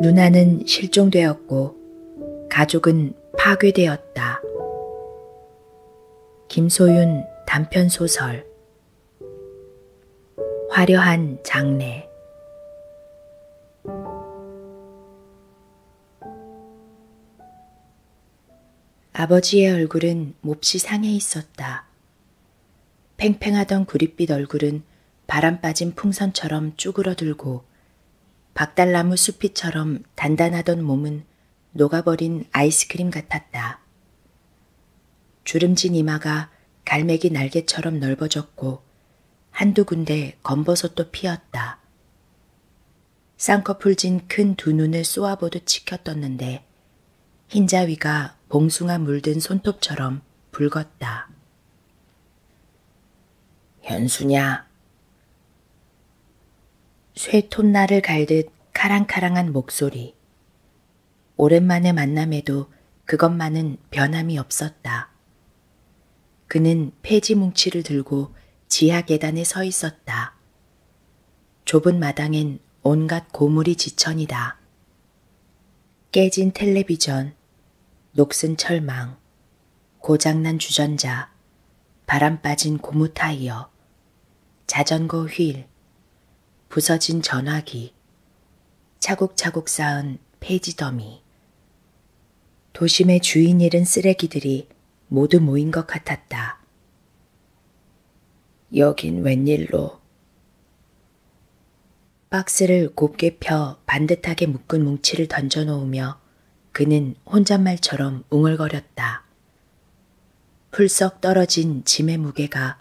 누나는 실종되었고 가족은 파괴되었다. 김소윤 단편 소설 화려한 장례 아버지의 얼굴은 몹시 상해 있었다. 팽팽하던 구릿빛 얼굴은 바람 빠진 풍선처럼 쭈그러들고 박달나무 수피처럼 단단하던 몸은 녹아버린 아이스크림 같았다. 주름진 이마가 갈매기 날개처럼 넓어졌고 한두 군데 검버섯도 피었다. 쌍꺼풀진 큰 두 눈을 쏘아보듯 치켜떴는데 흰자위가 봉숭아 물든 손톱처럼 붉었다. 현수냐? 쇠톱날을 갈듯 카랑카랑한 목소리. 오랜만에 만남에도 그것만은 변함이 없었다. 그는 폐지 뭉치를 들고 지하 계단에 서 있었다. 좁은 마당엔 온갖 고물이 지천이다. 깨진 텔레비전, 녹슨 철망, 고장난 주전자, 바람 빠진 고무 타이어, 자전거 휠, 부서진 전화기, 차곡차곡 쌓은 페이지 더미. 도심의 주인 잃은 쓰레기들이 모두 모인 것 같았다. 여긴 웬일로? 박스를 곱게 펴 반듯하게 묶은 뭉치를 던져놓으며 그는 혼잣말처럼 웅얼거렸다. 풀썩 떨어진 짐의 무게가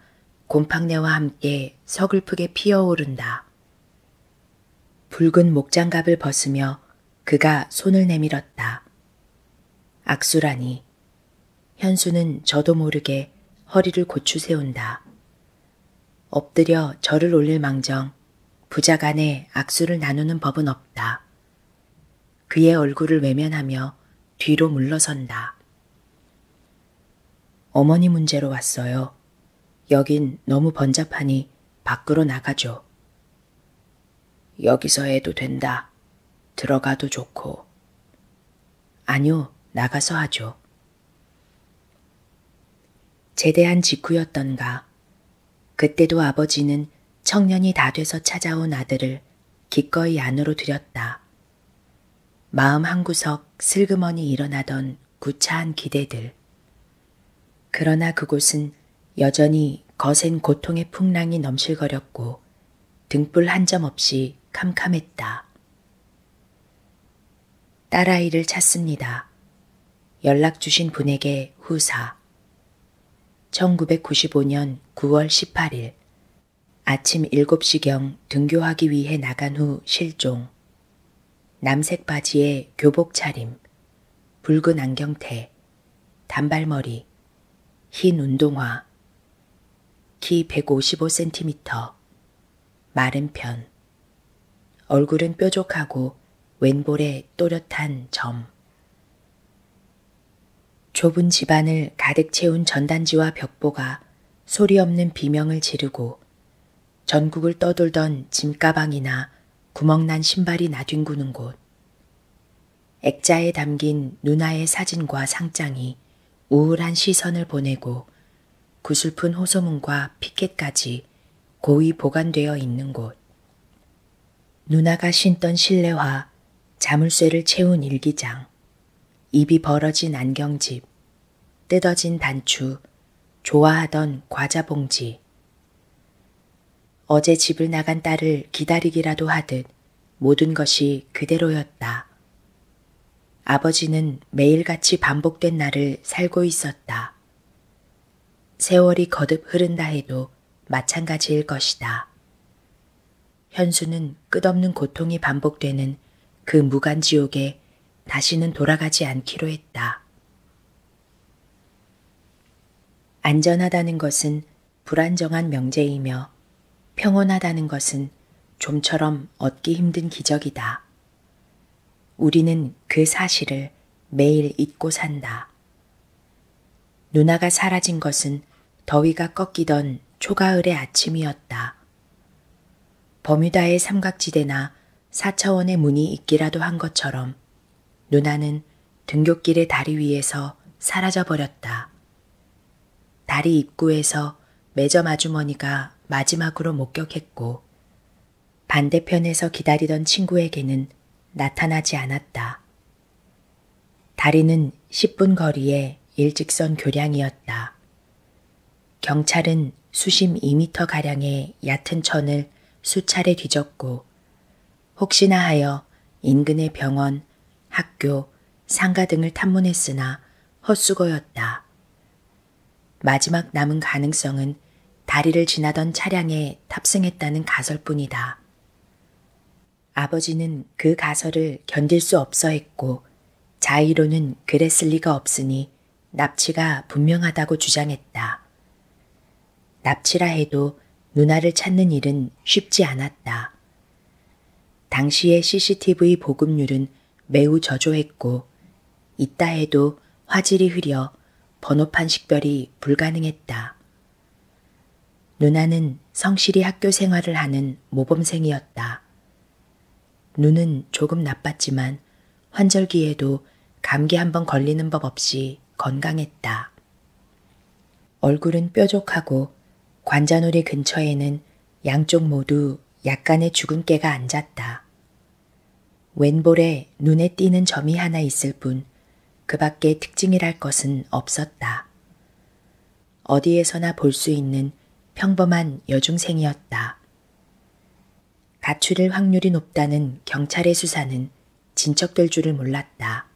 곰팡내와 함께 서글프게 피어오른다. 붉은 목장갑을 벗으며 그가 손을 내밀었다. 악수라니. 보니 현수는 저도 모르게 허리를 고추세운다. 엎드려 절을 올릴 망정 부자 간에 악수를 나누는 법은 없다. 그의 얼굴을 외면하며 뒤로 물러선다. 어머니 문제로 왔어요. 여긴 너무 번잡하니 밖으로 나가죠. 여기서 해도 된다. 들어가도 좋고. 아니요, 나가서 하죠. 제대한 직후였던가, 그때도 아버지는 청년이 다 돼서 찾아온 아들을 기꺼이 안으로 들였다. 마음 한구석 슬그머니 일어나던 구차한 기대들. 그러나 그곳은 여전히 거센 고통의 풍랑이 넘실거렸고 등불 한 점 없이 캄캄했다. 딸아이를 찾습니다. 연락 주신 분에게 후사. 1995년 9월 18일 아침 7시경 등교하기 위해 나간 후 실종. 남색 바지에 교복 차림, 붉은 안경테, 단발머리, 흰 운동화, 키 155cm, 마른 편, 얼굴은 뾰족하고 왼볼에 또렷한 점. 좁은 집안을 가득 채운 전단지와 벽보가 소리 없는 비명을 지르고 전국을 떠돌던 짐가방이나 구멍난 신발이 나뒹구는 곳. 액자에 담긴 누나의 사진과 상장이 우울한 시선을 보내고 구슬픈 호소문과 피켓까지 고이 보관되어 있는 곳. 누나가 신던 실내화, 자물쇠를 채운 일기장, 입이 벌어진 안경집, 뜯어진 단추, 좋아하던 과자 봉지. 어제 집을 나간 딸을 기다리기라도 하듯 모든 것이 그대로였다. 아버지는 매일같이 반복된 날을 살고 있었다. 세월이 거듭 흐른다 해도 마찬가지일 것이다. 현수는 끝없는 고통이 반복되는 그 무간지옥에 다시는 돌아가지 않기로 했다. 안전하다는 것은 불안정한 명제이며 평온하다는 것은 좀처럼 얻기 힘든 기적이다. 우리는 그 사실을 매일 잊고 산다. 누나가 사라진 것은 더위가 꺾이던 초가을의 아침이었다. 버뮤다의 삼각지대나 사차원의 문이 있기라도 한 것처럼 누나는 등굣길의 다리 위에서 사라져 버렸다. 다리 입구에서 매점 아주머니가 마지막으로 목격했고 반대편에서 기다리던 친구에게는 나타나지 않았다. 다리는 10분 거리에 일직선 교량이었다. 경찰은 수심 2미터가량의 얕은 천을 수차례 뒤졌고 혹시나 하여 인근의 병원 학교, 상가 등을 탐문했으나 헛수고였다. 마지막 남은 가능성은 다리를 지나던 차량에 탑승했다는 가설뿐이다. 아버지는 그 가설을 견딜 수 없어 했고 자의로는 그랬을 리가 없으니 납치가 분명하다고 주장했다. 납치라 해도 누나를 찾는 일은 쉽지 않았다. 당시의 CCTV 보급률은 매우 저조했고 있다 해도 화질이 흐려 번호판 식별이 불가능했다. 누나는 성실히 학교 생활을 하는 모범생이었다. 눈은 조금 나빴지만 환절기에도 감기 한번 걸리는 법 없이 건강했다. 얼굴은 뾰족하고 관자놀이 근처에는 양쪽 모두 약간의 주근깨가 앉았다. 왼볼에 눈에 띄는 점이 하나 있을 뿐, 그 밖에 특징이랄 것은 없었다. 어디에서나 볼 수 있는 평범한 여중생이었다. 가출일 확률이 높다는 경찰의 수사는 진척될 줄을 몰랐다.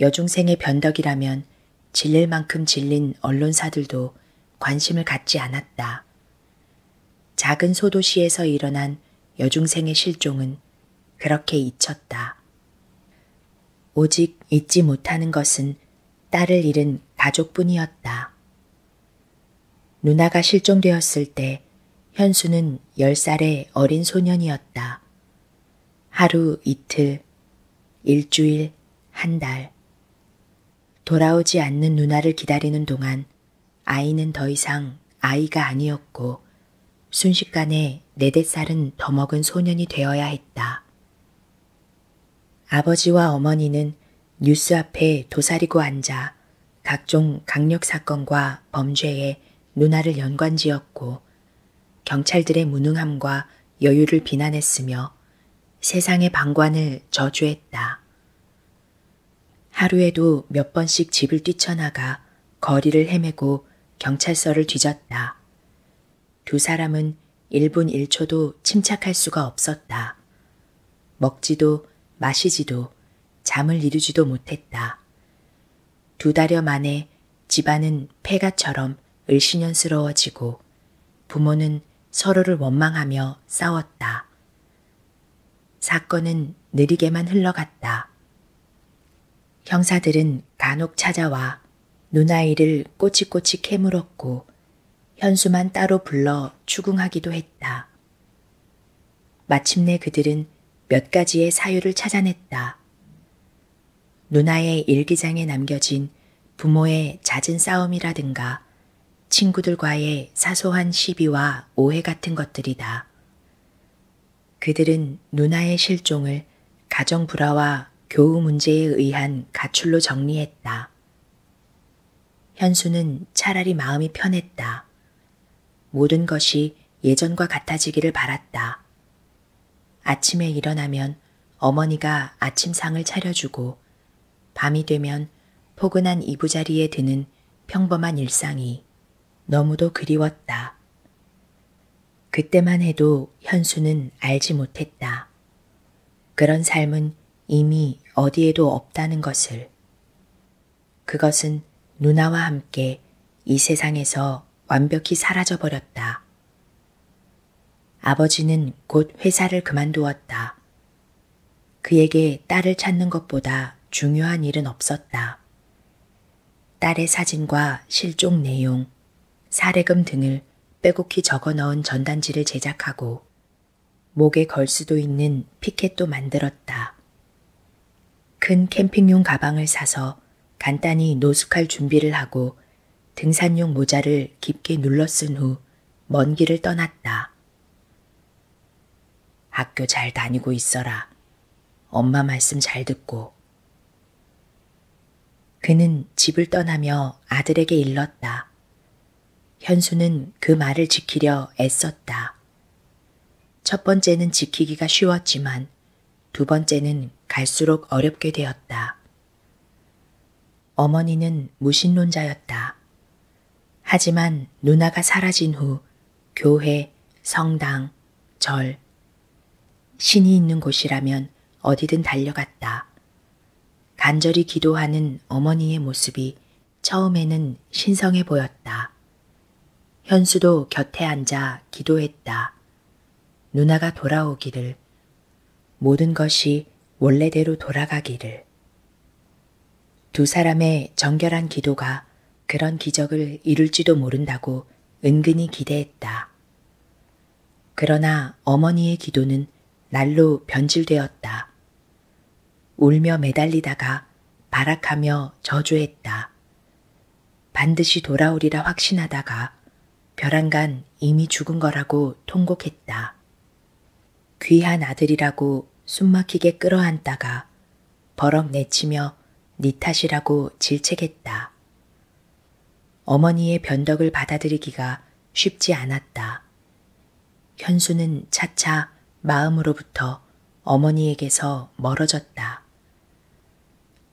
여중생의 변덕이라면 질릴 만큼 질린 언론사들도 관심을 갖지 않았다. 작은 소도시에서 일어난 여중생의 실종은 그렇게 잊혔다. 오직 잊지 못하는 것은 딸을 잃은 가족뿐이었다. 누나가 실종되었을 때 현수는 10살의 어린 소년이었다. 하루 이틀, 일주일, 한 달, 돌아오지 않는 누나를 기다리는 동안 아이는 더 이상 아이가 아니었고 순식간에 네댓 살은 더 먹은 소년이 되어야 했다. 아버지와 어머니는 뉴스 앞에 도사리고 앉아 각종 강력 사건과 범죄에 누나를 연관지었고 경찰들의 무능함과 여유를 비난했으며 세상의 방관을 저주했다. 하루에도 몇 번씩 집을 뛰쳐나가 거리를 헤매고 경찰서를 뒤졌다. 두 사람은 1분 1초도 침착할 수가 없었다. 먹지도 마시지도 잠을 이루지도 못했다. 두 달여 만에 집안은 폐가처럼 을신연스러워지고 부모는 서로를 원망하며 싸웠다. 사건은 느리게만 흘러갔다. 형사들은 간혹 찾아와 누나이를 꼬치꼬치 캐물었고 현수만 따로 불러 추궁하기도 했다. 마침내 그들은 몇 가지의 사유를 찾아냈다. 누나의 일기장에 남겨진 부모의 잦은 싸움이라든가 친구들과의 사소한 시비와 오해 같은 것들이다. 그들은 누나의 실종을 가정 불화와 교우 문제에 의한 가출로 정리했다. 현수는 차라리 마음이 편했다. 모든 것이 예전과 같아지기를 바랐다. 아침에 일어나면 어머니가 아침상을 차려주고 하고 밤이 되면 포근한 이부자리에 드는 평범한 일상이 너무도 그리웠다. 그때만 해도 현수는 알지 못했다. 그런 삶은 이미 어디에도 없다는 것을. 그것은 누나와 함께 이 세상에서 완벽히 사라져버렸다. 아버지는 곧 회사를 그만두었다. 그에게 딸을 찾는 것보다 중요한 일은 없었다. 딸의 사진과 실종 내용, 사례금 등을 빼곡히 적어 넣은 전단지를 제작하고 목에 걸 수도 있는 피켓도 만들었다. 큰 캠핑용 가방을 사서 간단히 노숙할 준비를 하고 등산용 모자를 깊게 눌러 쓴후 먼 길을 떠났다. 학교 잘 다니고 있어라. 엄마 말씀 잘 듣고. 그는 집을 떠나며 아들에게 일렀다. 현수는 그 말을 지키려 애썼다. 첫 번째는 지키기가 쉬웠지만 두 번째는 갈수록 어렵게 되었다. 어머니는 무신론자였다. 하지만 누나가 사라진 후 교회, 성당, 절, 신이 있는 곳이라면 어디든 달려갔다. 간절히 기도하는 어머니의 모습이 처음에는 신성해 보였다. 현수도 곁에 앉아 기도했다. 누나가 돌아오기를. 모든 것이 원래대로 돌아가기를. 두 사람의 정결한 기도가 그런 기적을 이룰지도 모른다고 은근히 기대했다. 그러나 어머니의 기도는 날로 변질되었다. 울며 매달리다가 발악하며 저주했다. 반드시 돌아오리라 확신하다가 벼랑간 이미 죽은 거라고 통곡했다. 귀한 아들이라고 숨막히게 끌어안다가 버럭 내치며 네 탓이라고 질책했다. 어머니의 변덕을 받아들이기가 쉽지 않았다. 현수는 차차 마음으로부터 어머니에게서 멀어졌다.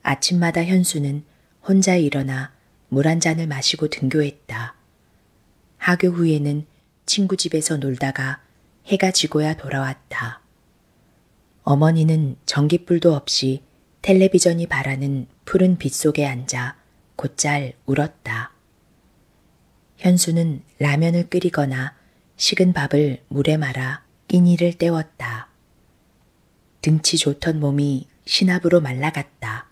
아침마다 현수는 혼자 일어나 물 한 잔을 마시고 등교했다. 하교 후에는 친구 집에서 놀다가 해가 지고야 돌아왔다. 어머니는 전기불도 없이 텔레비전이 바라는 푸른 빛 속에 앉아 곧잘 울었다. 현수는 라면을 끓이거나 식은 밥을 물에 말아 끼니를 때웠다. 등치 좋던 몸이 신압으로 말라갔다.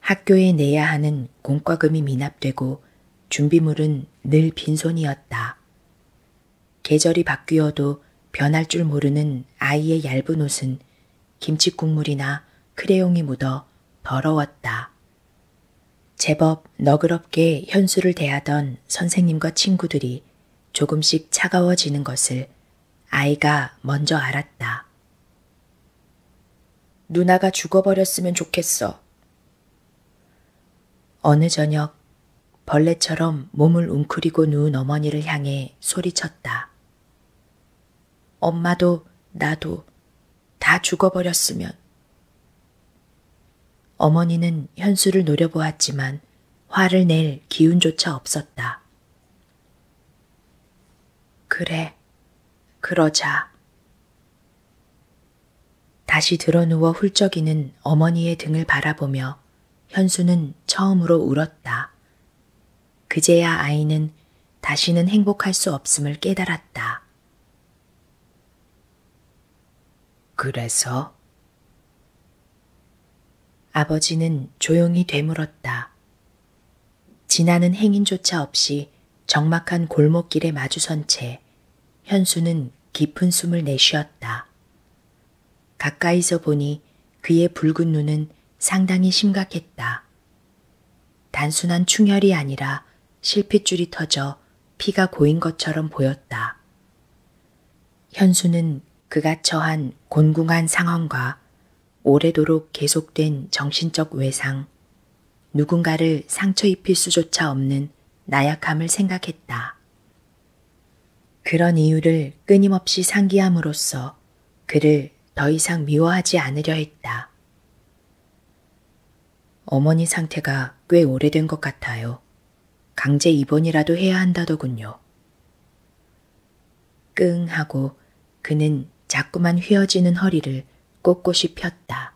학교에 내야 하는 공과금이 미납되고 준비물은 늘 빈손이었다. 계절이 바뀌어도 변할 줄 모르는 아이의 얇은 옷은 김치국물이나 크레용이 묻어 더러웠다. 제법 너그럽게 현수를 대하던 선생님과 친구들이 조금씩 차가워지는 것을 아이가 먼저 알았다. 누나가 죽어버렸으면 좋겠어. 어느 저녁 벌레처럼 몸을 웅크리고 누운 어머니를 향해 소리쳤다. 엄마도 나도 다 죽어버렸으면. 어머니는 현수를 노려보았지만 화를 낼 기운조차 없었다. 그래, 그러자. 다시 드러누워 훌쩍이는 어머니의 등을 바라보며 현수는 처음으로 울었다. 그제야 아이는 다시는 행복할 수 없음을 깨달았다. 그래서? 아버지는 조용히 되물었다. 지나는 행인조차 없이 적막한 골목길에 마주선 채 현수는 깊은 숨을 내쉬었다. 가까이서 보니 그의 붉은 눈은 상당히 심각했다. 단순한 충혈이 아니라 실핏줄이 터져 피가 고인 것처럼 보였다. 현수는 그가 처한 곤궁한 상황과 오래도록 계속된 정신적 외상, 누군가를 상처 입힐 수조차 없는 나약함을 생각했다. 그런 이유를 끊임없이 상기함으로써 그를 더 이상 미워하지 않으려 했다. 어머니 상태가 꽤 오래된 것 같아요. 강제 입원이라도 해야 한다더군요. 끙 하고 그는 자꾸만 휘어지는 허리를 꼿꼿이 폈다.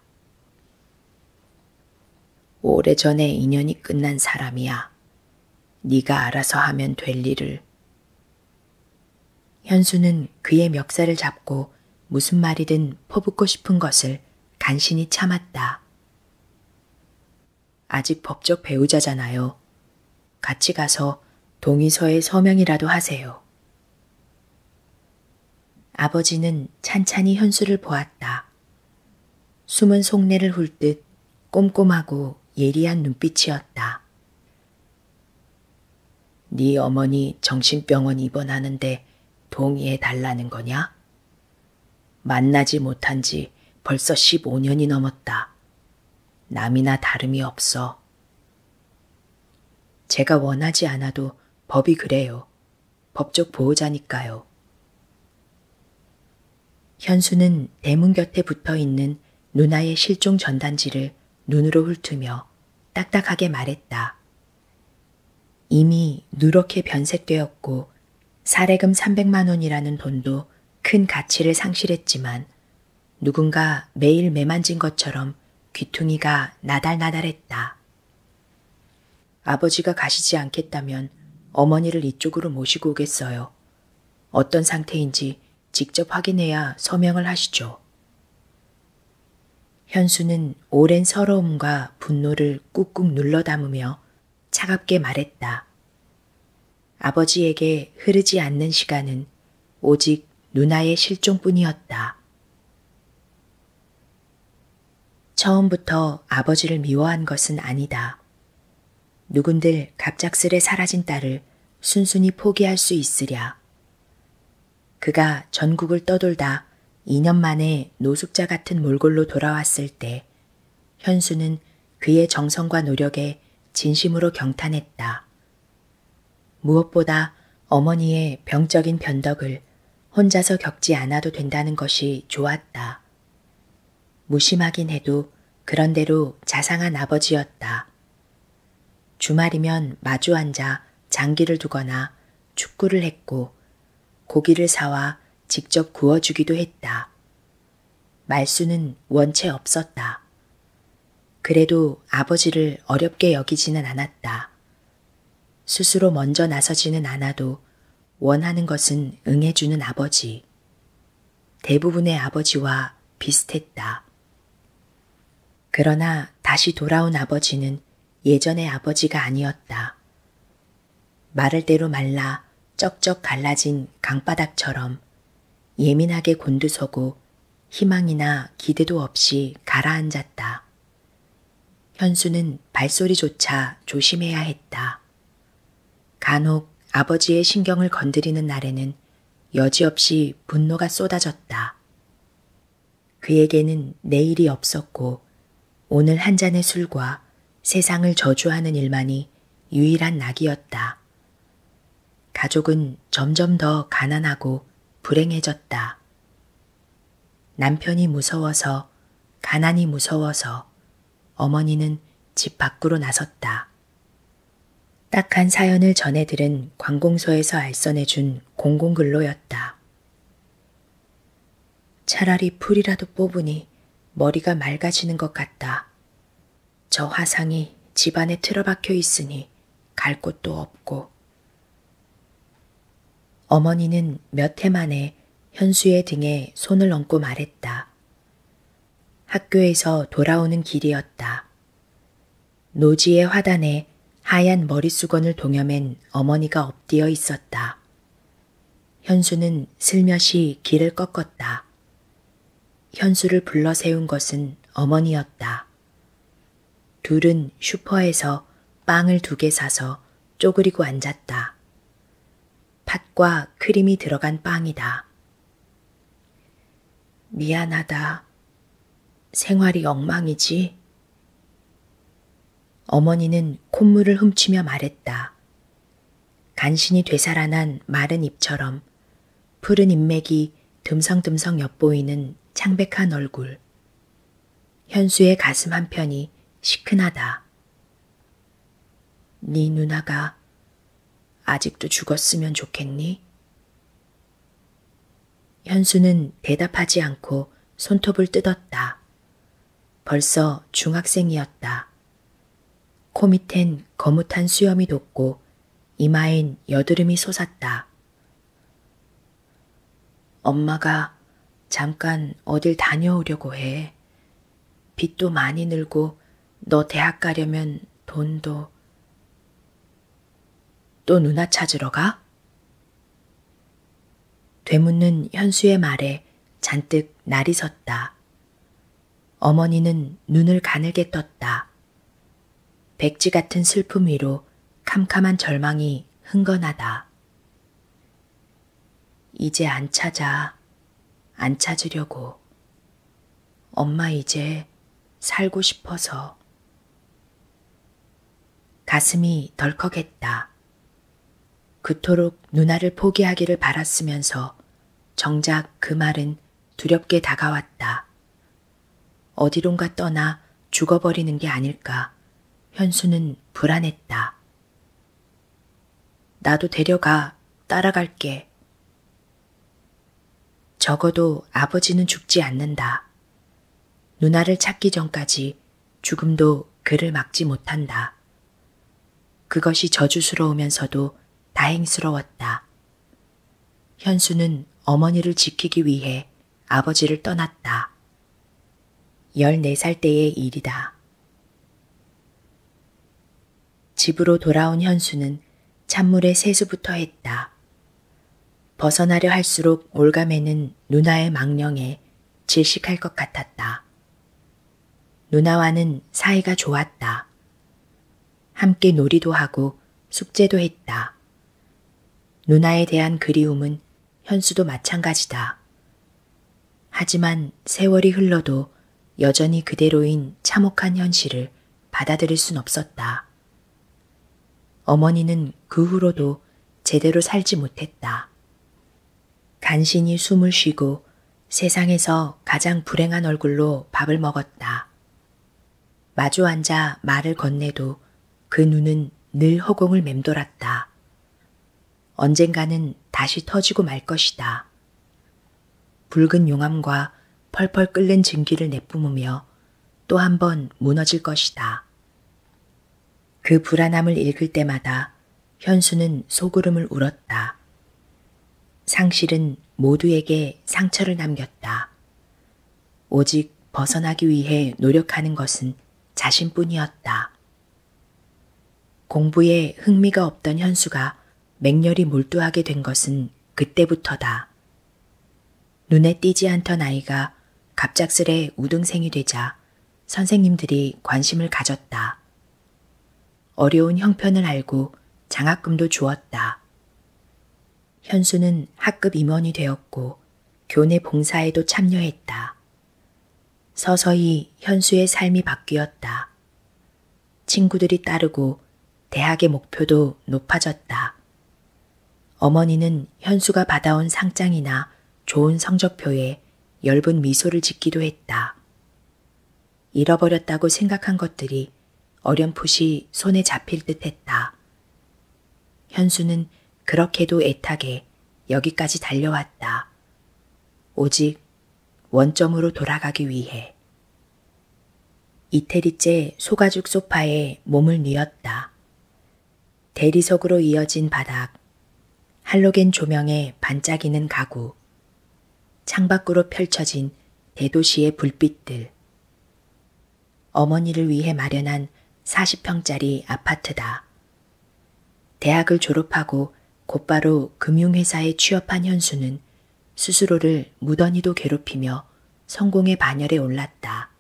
오래전에 인연이 끝난 사람이야. 네가 알아서 하면 될 일을. 현수는 그의 멱살을 잡고 무슨 말이든 퍼붓고 싶은 것을 간신히 참았다. 아직 법적 배우자잖아요. 같이 가서 동의서에 서명이라도 하세요. 아버지는 찬찬히 현수를 보았다. 숨은 속내를 훑듯 꼼꼼하고 예리한 눈빛이었다. 네 어머니 정신병원 입원하는데 동의해 달라는 거냐? 만나지 못한 지 벌써 15년이 넘었다. 남이나 다름이 없어. 제가 원하지 않아도 법이 그래요. 법적 보호자니까요. 현수는 대문 곁에 붙어 있는 누나의 실종 전단지를 눈으로 훑으며 딱딱하게 말했다. 이미 누렇게 변색되었고 사례금 300만 원이라는 돈도 큰 가치를 상실했지만 누군가 매일 매만진 것처럼 귀퉁이가 나달나달했다. 아버지가 가시지 않겠다면 어머니를 이쪽으로 모시고 오겠어요. 어떤 상태인지 직접 확인해야 서명을 하시죠. 현수는 오랜 서러움과 분노를 꾹꾹 눌러 담으며 차갑게 말했다. 아버지에게 흐르지 않는 시간은 오직 누나의 실종뿐이었다. 처음부터 아버지를 미워한 것은 아니다. 누군들 갑작스레 사라진 딸을 순순히 포기할 수 있으랴. 그가 전국을 떠돌다 2년 만에 노숙자 같은 몰골로 돌아왔을 때 현수는 그의 정성과 노력에 진심으로 경탄했다. 무엇보다 어머니의 병적인 변덕을 혼자서 겪지 않아도 된다는 것이 좋았다. 무심하긴 해도 그런대로 자상한 아버지였다. 주말이면 마주 앉아 장기를 두거나 축구를 했고 고기를 사와 직접 구워주기도 했다. 말수는 원체 없었다. 그래도 아버지를 어렵게 여기지는 않았다. 스스로 먼저 나서지는 않아도 원하는 것은 응해주는 아버지. 대부분의 아버지와 비슷했다. 그러나 다시 돌아온 아버지는 예전의 아버지가 아니었다. 마를 대로 말라 쩍쩍 갈라진 강바닥처럼 예민하게 곤두서고 희망이나 기대도 없이 가라앉았다. 현수는 발소리조차 조심해야 했다. 간혹 아버지의 신경을 건드리는 날에는 여지없이 분노가 쏟아졌다. 그에게는 내일이 없었고 오늘 한 잔의 술과 세상을 저주하는 일만이 유일한 낙이었다. 가족은 점점 더 가난하고 불행해졌다. 남편이 무서워서, 가난이 무서워서 어머니는 집 밖으로 나섰다. 딱한 사연을 전해 들은 관공서에서 알선해 준 공공근로였다. 차라리 풀이라도 뽑으니 머리가 맑아지는 것 같다. 저 화상이 집안에 틀어박혀 있으니 갈 곳도 없고 어머니는 몇 해 만에 현수의 등에 손을 얹고 말했다. 학교에서 돌아오는 길이었다. 노지의 화단에 하얀 머릿수건을 동여맨 어머니가 엎디어 있었다. 현수는 슬며시 길을 꺾었다. 현수를 불러 세운 것은 어머니였다. 둘은 슈퍼에서 빵을 두 개 사서 쪼그리고 앉았다. 팥과 크림이 들어간 빵이다. 미안하다. 생활이 엉망이지? 어머니는 콧물을 훔치며 말했다. 간신히 되살아난 마른 잎처럼 푸른 인맥이 듬성듬성 엿보이는 창백한 얼굴. 현수의 가슴 한편이 시큰하다. 네 누나가 아직도 죽었으면 좋겠니? 현수는 대답하지 않고 손톱을 뜯었다. 벌써 중학생이었다. 코밑엔 거뭇한 수염이 돋고 이마엔 여드름이 솟았다. 엄마가 잠깐 어딜 다녀오려고 해. 빚도 많이 늘고 너 대학 가려면 돈도. 또 누나 찾으러 가? 되묻는 현수의 말에 잔뜩 날이 섰다. 어머니는 눈을 가늘게 떴다. 백지 같은 슬픔 위로 캄캄한 절망이 흥건하다. 이제 안 찾아, 안 찾으려고. 엄마 이제 살고 싶어서. 가슴이 덜컥했다. 그토록 누나를 포기하기를 바랐으면서 정작 그 말은 두렵게 다가왔다. 어디론가 떠나 죽어버리는 게 아닐까 현수는 불안했다. 나도 데려가 따라갈게. 적어도 아버지는 죽지 않는다. 누나를 찾기 전까지 죽음도 그를 막지 못한다. 그것이 저주스러우면서도 다행스러웠다. 현수는 어머니를 지키기 위해 아버지를 떠났다. 14살 때의 일이다. 집으로 돌아온 현수는 찬물에 세수부터 했다. 벗어나려 할수록 올가매는 누나의 망령에 질식할 것 같았다. 누나와는 사이가 좋았다. 함께 놀이도 하고 숙제도 했다. 누나에 대한 그리움은 현수도 마찬가지다. 하지만 세월이 흘러도 여전히 그대로인 참혹한 현실을 받아들일 순 없었다. 어머니는 그 후로도 제대로 살지 못했다. 간신히 숨을 쉬고 세상에서 가장 불행한 얼굴로 밥을 먹었다. 마주 앉아 말을 건네도 그 눈은 늘 허공을 맴돌았다. 언젠가는 다시 터지고 말 것이다. 붉은 용암과 펄펄 끓는 증기를 내뿜으며 또 한 번 무너질 것이다. 그 불안함을 읽을 때마다 현수는 소구름을 울었다. 상실은 모두에게 상처를 남겼다. 오직 벗어나기 위해 노력하는 것은 자신뿐이었다. 공부에 흥미가 없던 현수가 맹렬히 몰두하게 된 것은 그때부터다. 눈에 띄지 않던 아이가 갑작스레 우등생이 되자 선생님들이 관심을 가졌다. 어려운 형편을 알고 장학금도 주었다. 현수는 학급 임원이 되었고 교내 봉사에도 참여했다. 서서히 현수의 삶이 바뀌었다. 친구들이 따르고 대학의 목표도 높아졌다. 어머니는 현수가 받아온 상장이나 좋은 성적표에 엷은 미소를 짓기도 했다. 잃어버렸다고 생각한 것들이 어렴풋이 손에 잡힐 듯 했다. 현수는 그렇게도 애타게 여기까지 달려왔다. 오직 원점으로 돌아가기 위해. 이태리째 소가죽 소파에 몸을 뉘었다. 대리석으로 이어진 바닥, 할로겐 조명에 반짝이는 가구, 창밖으로 펼쳐진 대도시의 불빛들, 어머니를 위해 마련한 40평짜리 아파트다. 대학을 졸업하고 곧바로 금융회사에 취업한 현수는 스스로를 무던히도 괴롭히며 성공의 반열에 올랐다.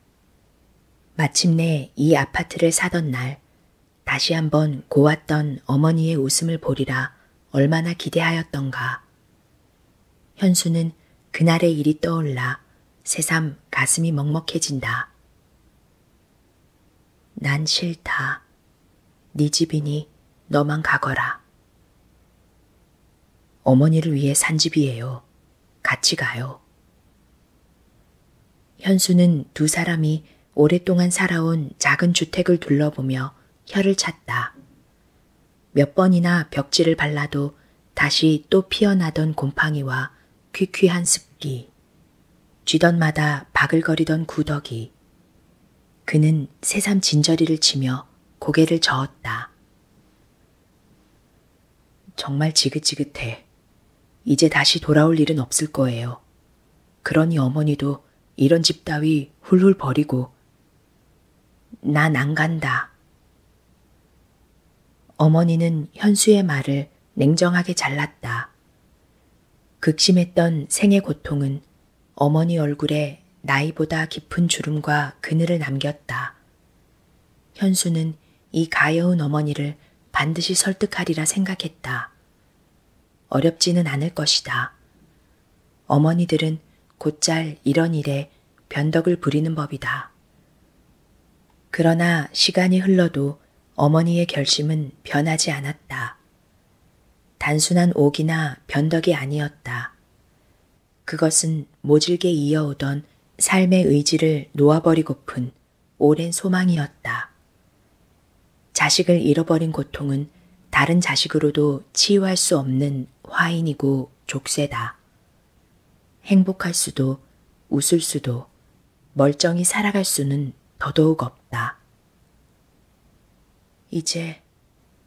마침내 이 아파트를 사던 날 다시 한번 고왔던 어머니의 웃음을 보리라 얼마나 기대하였던가. 현수는 그날의 일이 떠올라 새삼 가슴이 먹먹해진다. 난 싫다. 네 집이니 너만 가거라. 어머니를 위해 산 집이에요. 같이 가요. 현수는 두 사람이 오랫동안 살아온 작은 주택을 둘러보며 혀를 찼다. 몇 번이나 벽지를 발라도 다시 또 피어나던 곰팡이와 퀴퀴한 그 습기, 쥐던마다 바글거리던 구더기. 그는 새삼 진저리를 치며 고개를 저었다. 정말 지긋지긋해. 이제 다시 돌아올 일은 없을 거예요. 그러니 어머니도 이런 집 따위 훌훌 버리고, 난 안 간다. 어머니는 현수의 말을 냉정하게 잘랐다. 극심했던 생의 고통은 어머니 얼굴에 나이보다 깊은 주름과 그늘을 남겼다. 현수는 이 가여운 어머니를 반드시 설득하리라 생각했다. 어렵지는 않을 것이다. 어머니들은 곧잘 이런 일에 변덕을 부리는 법이다. 그러나 시간이 흘러도 어머니의 결심은 변하지 않았다. 단순한 옥이나 변덕이 아니었다. 그것은 모질게 이어오던 삶의 의지를 놓아버리고픈 오랜 소망이었다. 자식을 잃어버린 고통은 다른 자식으로도 치유할 수 없는 화인이고 족쇄다. 행복할 수도 웃을 수도 멀쩡히 살아갈 수는 더더욱 없다. 이제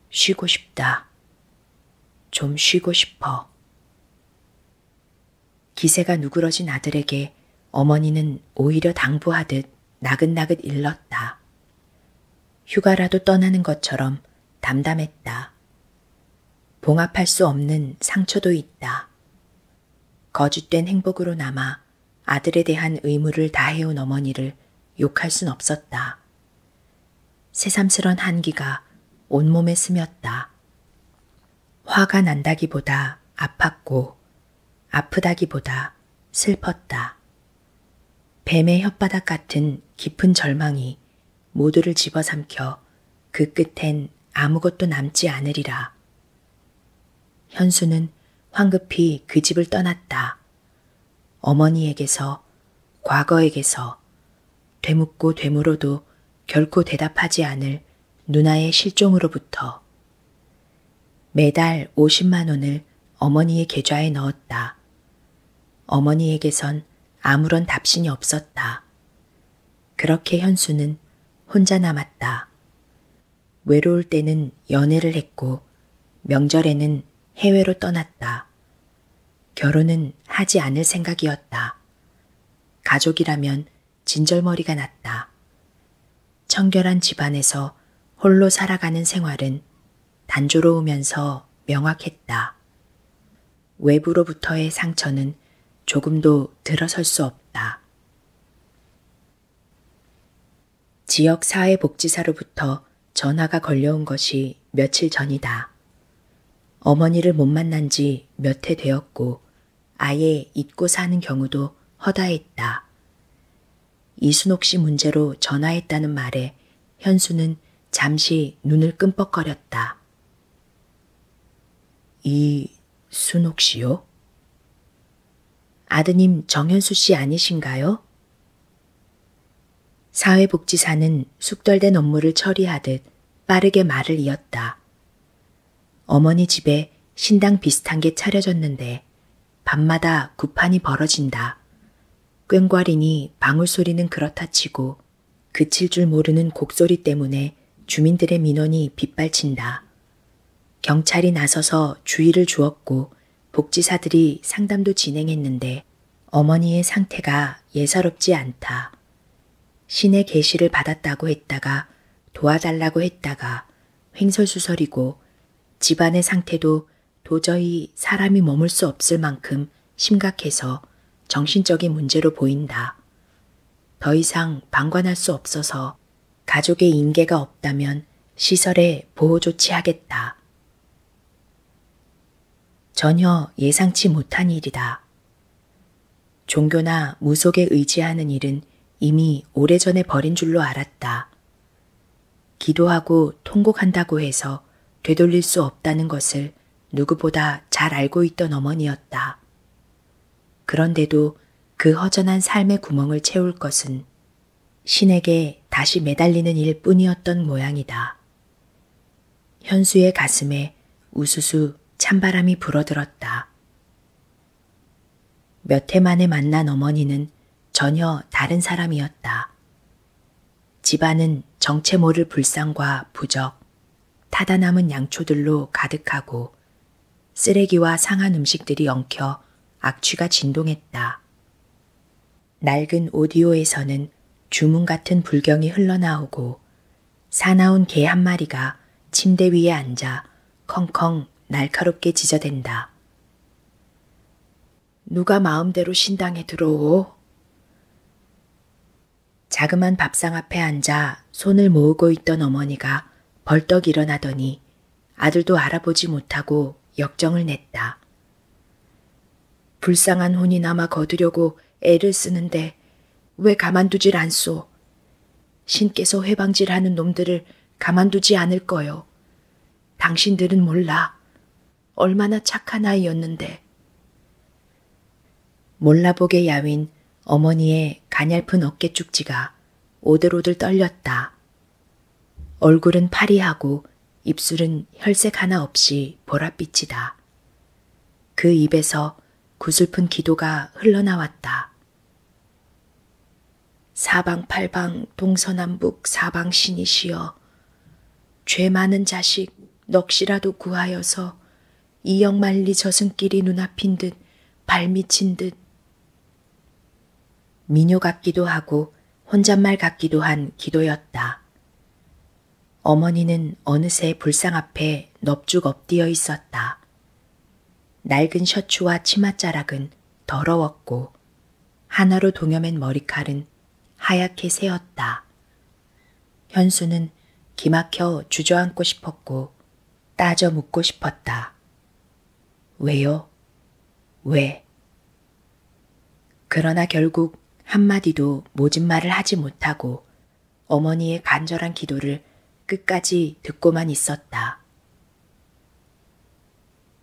쉬고 싶다. 좀 쉬고 싶어. 기세가 누그러진 아들에게 어머니는 오히려 당부하듯 나긋나긋 일렀다. 휴가라도 떠나는 것처럼 담담했다. 봉합할 수 없는 상처도 있다. 거짓된 행복으로 남아 아들에 대한 의무를 다해온 어머니를 욕할 순 없었다. 새삼스런 한기가 온몸에 스몄다. 화가 난다기보다 아팠고 아프다기보다 슬펐다. 뱀의 혓바닥 같은 깊은 절망이 모두를 집어삼켜 그 끝엔 아무것도 남지 않으리라. 현수는 황급히 그 집을 떠났다. 어머니에게서, 과거에게서, 되묻고 되물어도 결코 대답하지 않을 누나의 실종으로부터 매달 50만 원을 어머니의 계좌에 넣었다. 어머니에게선 아무런 답신이 없었다. 그렇게 현수는 혼자 남았다. 외로울 때는 연애를 했고 명절에는 해외로 떠났다. 결혼은 하지 않을 생각이었다. 가족이라면 진절머리가 났다. 청결한 집안에서 홀로 살아가는 생활은 단조로우면서 명확했다. 외부로부터의 상처는 조금도 들어설 수 없다. 지역 사회복지사로부터 전화가 걸려온 것이 며칠 전이다. 어머니를 못 만난 지 몇 해 되었고 아예 잊고 사는 경우도 허다했다. 이순옥 씨 문제로 전화했다는 말에 현수는 잠시 눈을 끔뻑거렸다. 이 순옥 씨요? 아드님 정현수 씨 아니신가요? 사회복지사는 숙덜된 업무를 처리하듯 빠르게 말을 이었다. 어머니 집에 신당 비슷한 게 차려졌는데 밤마다 구판이 벌어진다. 꽹과리니 방울 소리는 그렇다 치고 그칠 줄 모르는 곡소리 때문에 주민들의 민원이 빗발친다. 경찰이 나서서 주의를 주었고 복지사들이 상담도 진행했는데 어머니의 상태가 예사롭지 않다. 신의 계시를 받았다고 했다가 도와달라고 했다가 횡설수설이고 집안의 상태도 도저히 사람이 머물 수 없을 만큼 심각해서 정신적인 문제로 보인다. 더 이상 방관할 수 없어서 가족의 인계가 없다면 시설에 보호 조치하겠다. 전혀 예상치 못한 일이다. 종교나 무속에 의지하는 일은 이미 오래전에 버린 줄로 알았다. 기도하고 통곡한다고 해서 되돌릴 수 없다는 것을 누구보다 잘 알고 있던 어머니였다. 그런데도 그 허전한 삶의 구멍을 채울 것은 신에게 다시 매달리는 일 뿐이었던 모양이다. 현수의 가슴에 우수수 찬바람이 불어들었다. 몇 해 만에 만난 어머니는 전혀 다른 사람이었다. 집안은 정체 모를 불상과 부적, 타다 남은 양초들로 가득하고 쓰레기와 상한 음식들이 엉켜 악취가 진동했다. 낡은 오디오에서는 주문 같은 불경이 흘러나오고 사나운 개 한 마리가 침대 위에 앉아 컹컹 날카롭게 짖어댄다. 누가 마음대로 신당에 들어오? 자그만 밥상 앞에 앉아 손을 모으고 있던 어머니가 벌떡 일어나더니 아들도 알아보지 못하고 역정을 냈다. 불쌍한 혼이나마 거두려고 애를 쓰는데 왜 가만두질 않소? 신께서 회방질하는 놈들을 가만두지 않을 거요. 당신들은 몰라. 얼마나 착한 아이였는데. 몰라보게 야윈 어머니의 가냘픈 어깨죽지가 오들오들 떨렸다. 얼굴은 파리하고 입술은 혈색 하나 없이 보랏빛이다. 그 입에서 구슬픈 기도가 흘러나왔다. 사방팔방 동서남북 사방신이시여 죄 많은 자식 넋이라도 구하여서 이영만리 젖은 길이 눈앞인 듯 발미친 듯 미녀 같기도 하고 혼잣말 같기도 한 기도였다. 어머니는 어느새 불상 앞에 넙죽 엎디어 있었다. 낡은 셔츠와 치맛자락은 더러웠고 하나로 동여맨 머리칼은 하얗게 새었다. 현수는 기막혀 주저앉고 싶었고 따져 묻고 싶었다. 왜요? 왜? 그러나 결국 한마디도 모진 말을 하지 못하고 어머니의 간절한 기도를 끝까지 듣고만 있었다.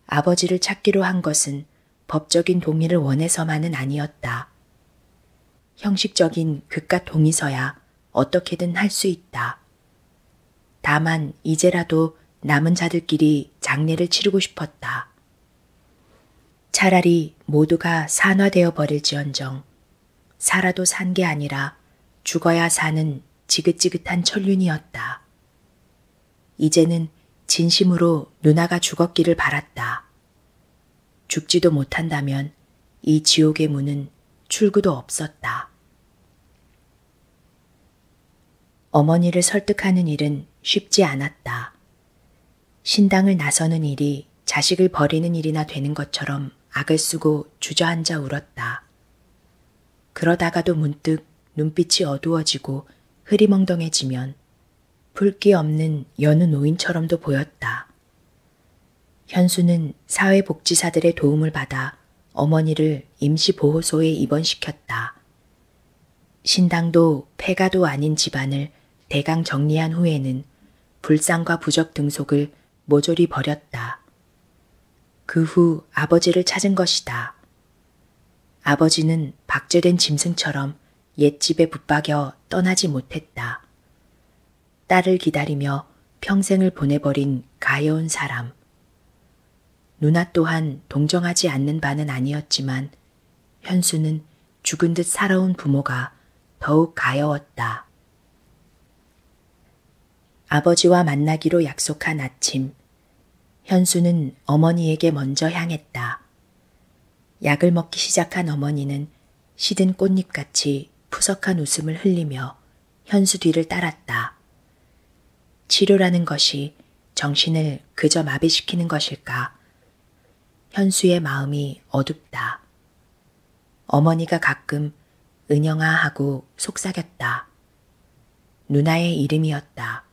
아버지를 찾기로 한 것은 법적인 동의를 원해서만은 아니었다. 형식적인 극과 동의서야 어떻게든 할 수 있다. 다만 이제라도 남은 자들끼리 장례를 치르고 싶었다. 차라리 모두가 산화되어 버릴지언정 살아도 산 게 아니라 죽어야 사는 지긋지긋한 천륜이었다. 이제는 진심으로 누나가 죽었기를 바랐다. 죽지도 못한다면 이 지옥의 문은 출구도 없었다. 어머니를 설득하는 일은 쉽지 않았다. 신당을 나서는 일이 자식을 버리는 일이나 되는 것처럼 악을 쓰고 주저앉아 울었다. 그러다가도 문득 눈빛이 어두워지고 흐리멍덩해지면 불기 없는 여느 노인처럼도 보였다. 현수는 사회복지사들의 도움을 받아 어머니를 임시보호소에 입원시켰다. 신당도 폐가도 아닌 집안을 대강 정리한 후에는 불상과 부적 등속을 모조리 버렸다. 그 후 아버지를 찾은 것이다. 아버지는 박제된 짐승처럼 옛집에 붙박여 떠나지 못했다. 딸을 기다리며 평생을 보내버린 가여운 사람. 누나 또한 동정하지 않는 바는 아니었지만 현수는 죽은 듯 살아온 부모가 더욱 가여웠다. 아버지와 만나기로 약속한 아침, 현수는 어머니에게 먼저 향했다. 약을 먹기 시작한 어머니는 시든 꽃잎같이 푸석한 웃음을 흘리며 현수 뒤를 따랐다. 치료라는 것이 정신을 그저 마비시키는 것일까? 현수의 마음이 어둡다. 어머니가 가끔 은영아 하고 속삭였다. 누나의 이름이었다.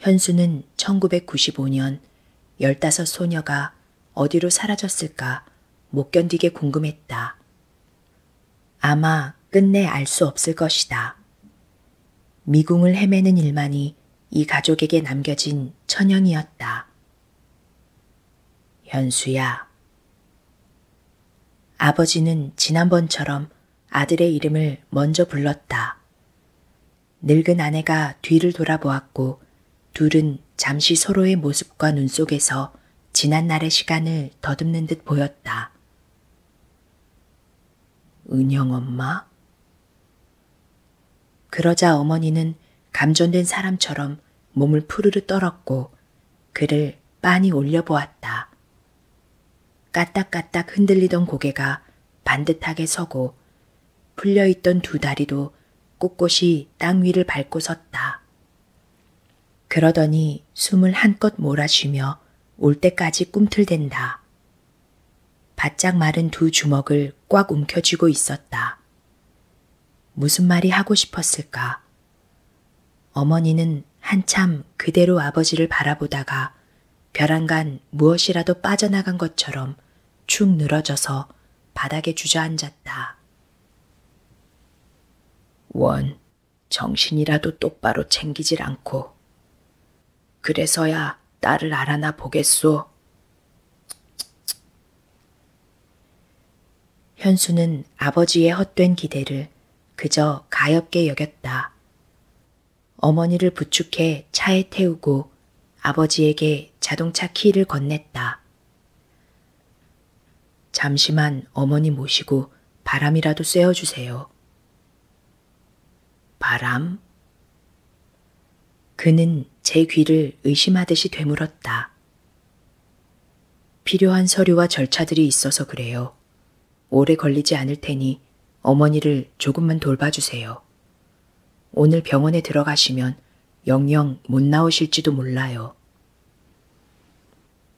현수는 1995년 15 소녀가 어디로 사라졌을까 못 견디게 궁금했다. 아마 끝내 알 수 없을 것이다. 미궁을 헤매는 일만이 이 가족에게 남겨진 천연이었다. 현수야. 아버지는 지난번처럼 아들의 이름을 먼저 불렀다. 늙은 아내가 뒤를 돌아보았고 둘은 잠시 서로의 모습과 눈 속에서 지난 날의 시간을 더듬는 듯 보였다. 은영 엄마? 그러자 어머니는 감전된 사람처럼 몸을 푸르르 떨었고 그를 빤히 올려보았다. 까딱까딱 흔들리던 고개가 반듯하게 서고 풀려있던 두 다리도 꼿꼿이 땅 위를 밟고 섰다. 그러더니 숨을 한껏 몰아쉬며 올 때까지 꿈틀댄다. 바짝 마른 두 주먹을 꽉 움켜쥐고 있었다. 무슨 말이 하고 싶었을까? 어머니는 한참 그대로 아버지를 바라보다가 벼랑간 무엇이라도 빠져나간 것처럼 축 늘어져서 바닥에 주저앉았다. 원, 정신이라도 똑바로 챙기질 않고, 그래서야 딸을 알아나 보겠소. 현수는 아버지의 헛된 기대를 그저 가엽게 여겼다. 어머니를 부축해 차에 태우고 아버지에게 자동차 키를 건넸다. 잠시만 어머니 모시고 바람이라도 쐬어 주세요. 바람? 그는 제 귀를 의심하듯이 되물었다. 필요한 서류와 절차들이 있어서 그래요. 오래 걸리지 않을 테니 어머니를 조금만 돌봐주세요. 오늘 병원에 들어가시면 영영 못 나오실지도 몰라요.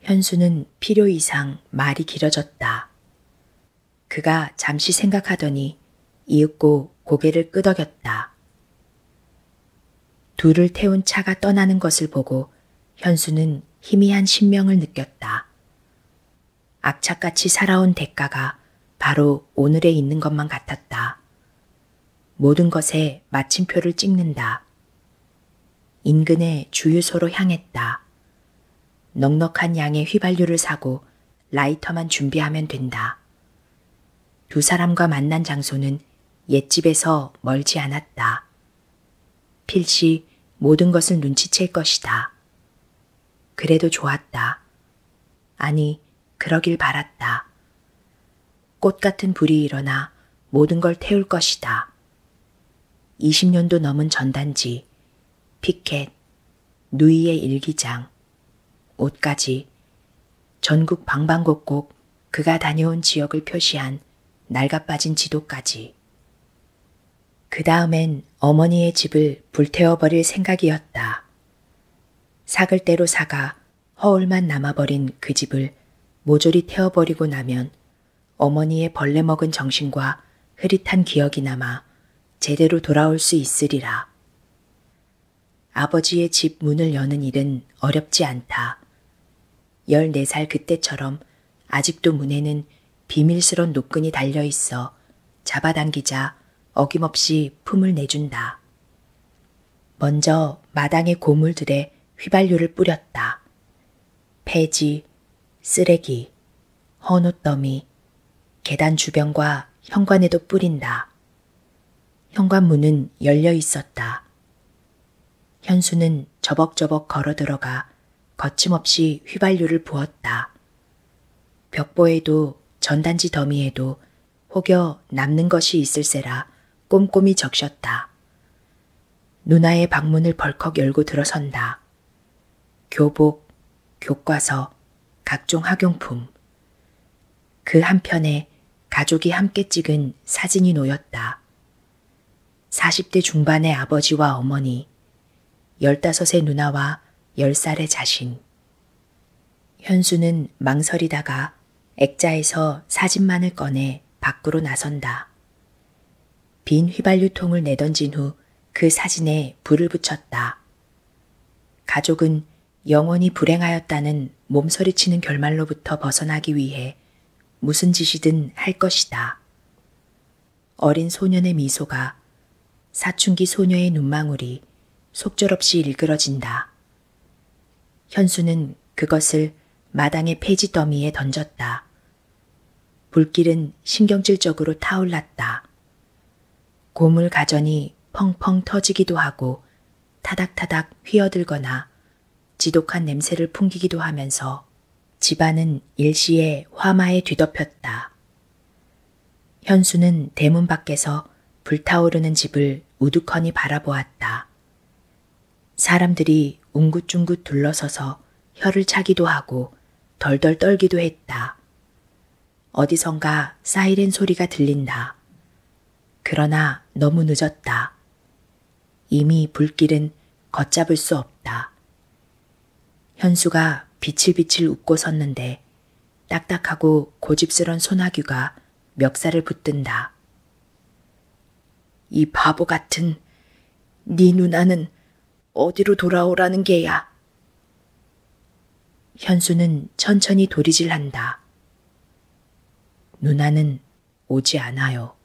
현수는 필요 이상 말이 길어졌다. 그가 잠시 생각하더니 이윽고 고개를 끄덕였다. 둘을 태운 차가 떠나는 것을 보고 현수는 희미한 신명을 느꼈다. 악착같이 살아온 대가가 바로 오늘에 있는 것만 같았다. 모든 것에 마침표를 찍는다. 인근의 주유소로 향했다. 넉넉한 양의 휘발유를 사고 라이터만 준비하면 된다. 두 사람과 만난 장소는 옛집에서 멀지 않았다. 필시 모든 것을 눈치챌 것이다. 그래도 좋았다. 아니, 그러길 바랐다. 꽃 같은 불이 일어나 모든 걸 태울 것이다. 20년도 넘은 전단지, 피켓, 누이의 일기장, 옷까지 전국 방방곡곡 그가 다녀온 지역을 표시한 낡아빠진 지도까지. 그 다음엔 어머니의 집을 불태워버릴 생각이었다. 삭을 때로 사가 허울만 남아버린 그 집을 모조리 태워버리고 나면 어머니의 벌레 먹은 정신과 흐릿한 기억이 남아 제대로 돌아올 수 있으리라. 아버지의 집 문을 여는 일은 어렵지 않다. 14살 그때처럼 아직도 문에는 비밀스런 노끈이 달려 있어 잡아당기자 어김없이 품을 내준다. 먼저 마당의 고물들에 휘발유를 뿌렸다. 폐지, 쓰레기, 헌옷더미, 계단 주변과 현관에도 뿌린다. 현관문은 열려 있었다. 현수는 저벅저벅 걸어 들어가 거침없이 휘발유를 부었다. 벽보에도 전단지 더미에도 혹여 남는 것이 있을세라 꼼꼼히 적셨다. 누나의 방문을 벌컥 열고 들어선다. 교복, 교과서, 각종 학용품. 그 한편에 가족이 함께 찍은 사진이 놓였다. 40대 중반의 아버지와 어머니, 15의 누나와 10살의 자신. 현수는 망설이다가 액자에서 사진만을 꺼내 밖으로 나선다. 빈 휘발유통을 내던진 후 그 사진에 불을 붙였다. 가족은 영원히 불행하였다는 몸서리치는 결말로부터 벗어나기 위해 무슨 짓이든 할 것이다. 어린 소년의 미소가 사춘기 소녀의 눈망울이 속절없이 일그러진다. 현수는 그것을 마당의 폐지 더미에 던졌다. 불길은 신경질적으로 타올랐다. 고물 가전이 펑펑 터지기도 하고 타닥타닥 휘어들거나 지독한 냄새를 풍기기도 하면서 집안은 일시에 화마에 뒤덮였다. 현수는 대문 밖에서 불타오르는 집을 우두커니 바라보았다. 사람들이 웅긋중긋 둘러서서 혀를 차기도 하고 덜덜 떨기도 했다. 어디선가 사이렌 소리가 들린다. 그러나 너무 늦었다. 이미 불길은 걷잡을 수 없다. 현수가 비칠비칠 웃고 섰는데 딱딱하고 고집스런 소나귀가 멱살을 붙든다. 이 바보 같은 네 누나는 어디로 돌아오라는 게야. 현수는 천천히 도리질한다. 누나는 오지 않아요.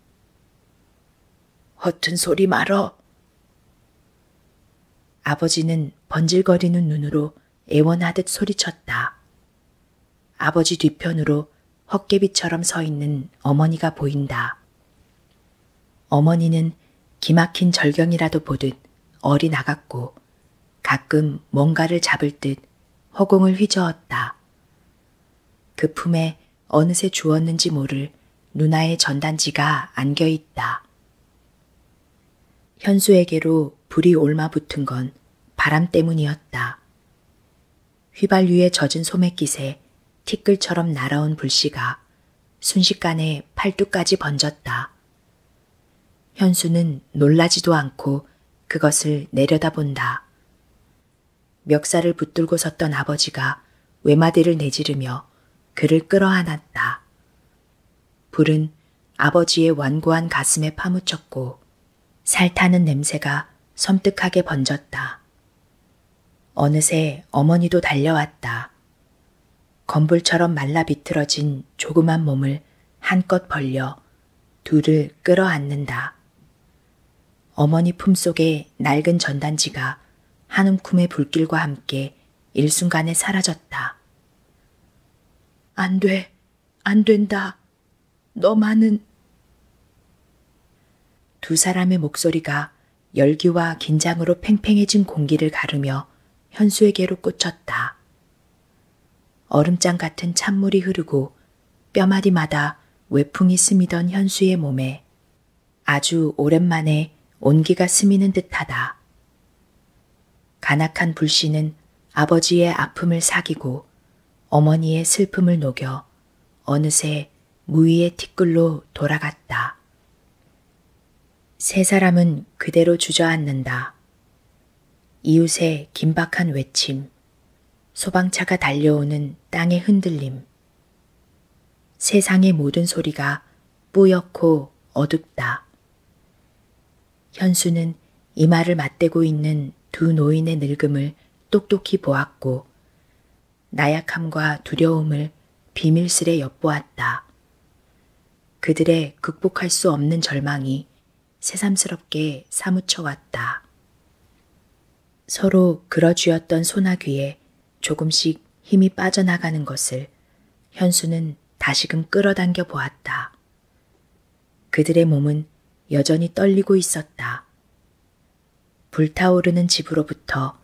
허튼 소리 말어. 아버지는 번질거리는 눈으로 애원하듯 소리쳤다. 아버지 뒤편으로 헛개비처럼 서 있는 어머니가 보인다. 어머니는 기막힌 절경이라도 보듯 어리 나갔고 가끔 뭔가를 잡을 듯 허공을 휘저었다. 그 품에 어느새 주었는지 모를 누나의 전단지가 안겨 있다. 현수에게로 불이 올마 붙은 건 바람 때문이었다. 휘발 위에 젖은 소매깃에 티끌처럼 날아온 불씨가 순식간에 팔뚝까지 번졌다. 현수는 놀라지도 않고 그것을 내려다본다. 멱살을 붙들고 섰던 아버지가 외마디를 내지르며 그를 끌어안았다. 불은 아버지의 완고한 가슴에 파묻혔고 살 타는 냄새가 섬뜩하게 번졌다. 어느새 어머니도 달려왔다. 건불처럼 말라 비틀어진 조그만 몸을 한껏 벌려 둘을 끌어안는다. 어머니 품속에 낡은 전단지가 한 움큼의 불길과 함께 일순간에 사라졌다. 안 돼, 안 된다. 너만은 두 사람의 목소리가 열기와 긴장으로 팽팽해진 공기를 가르며 현수에게로 꽂혔다. 얼음장 같은 찬물이 흐르고 뼈마디마다 외풍이 스미던 현수의 몸에 아주 오랜만에 온기가 스미는 듯하다. 간악한 불씨는 아버지의 아픔을 사귀고 어머니의 슬픔을 녹여 어느새 무위의 티끌로 돌아갔다. 세 사람은 그대로 주저앉는다. 이웃의 긴박한 외침, 소방차가 달려오는 땅의 흔들림, 세상의 모든 소리가 뿌옇고 어둡다. 현수는 이마를 맞대고 있는 두 노인의 늙음을 똑똑히 보았고 나약함과 두려움을 비밀스레 엿보았다. 그들의 극복할 수 없는 절망이 새삼스럽게 사무쳐 왔다. 서로 그러쥐었던 소나귀에 조금씩 힘이 빠져나가는 것을 현수는 다시금 끌어당겨 보았다. 그들의 몸은 여전히 떨리고 있었다. 불타오르는 집으로부터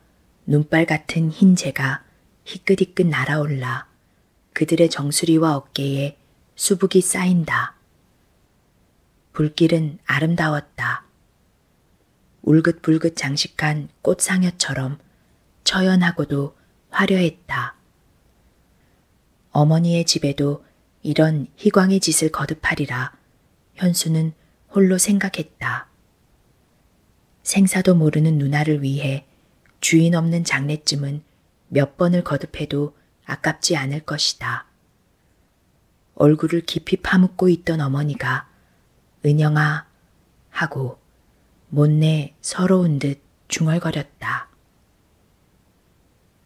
눈발 같은 흰재가 희끗희끗 날아올라 그들의 정수리와 어깨에 수북이 쌓인다. 불길은 아름다웠다. 울긋불긋 장식한 꽃상여처럼 처연하고도 화려했다. 어머니의 집에도 이런 희광의 짓을 거듭하리라 현수는 홀로 생각했다. 생사도 모르는 누나를 위해 주인 없는 장례쯤은 몇 번을 거듭해도 아깝지 않을 것이다. 얼굴을 깊이 파묻고 있던 어머니가 은영아 하고 못내 서러운 듯 중얼거렸다.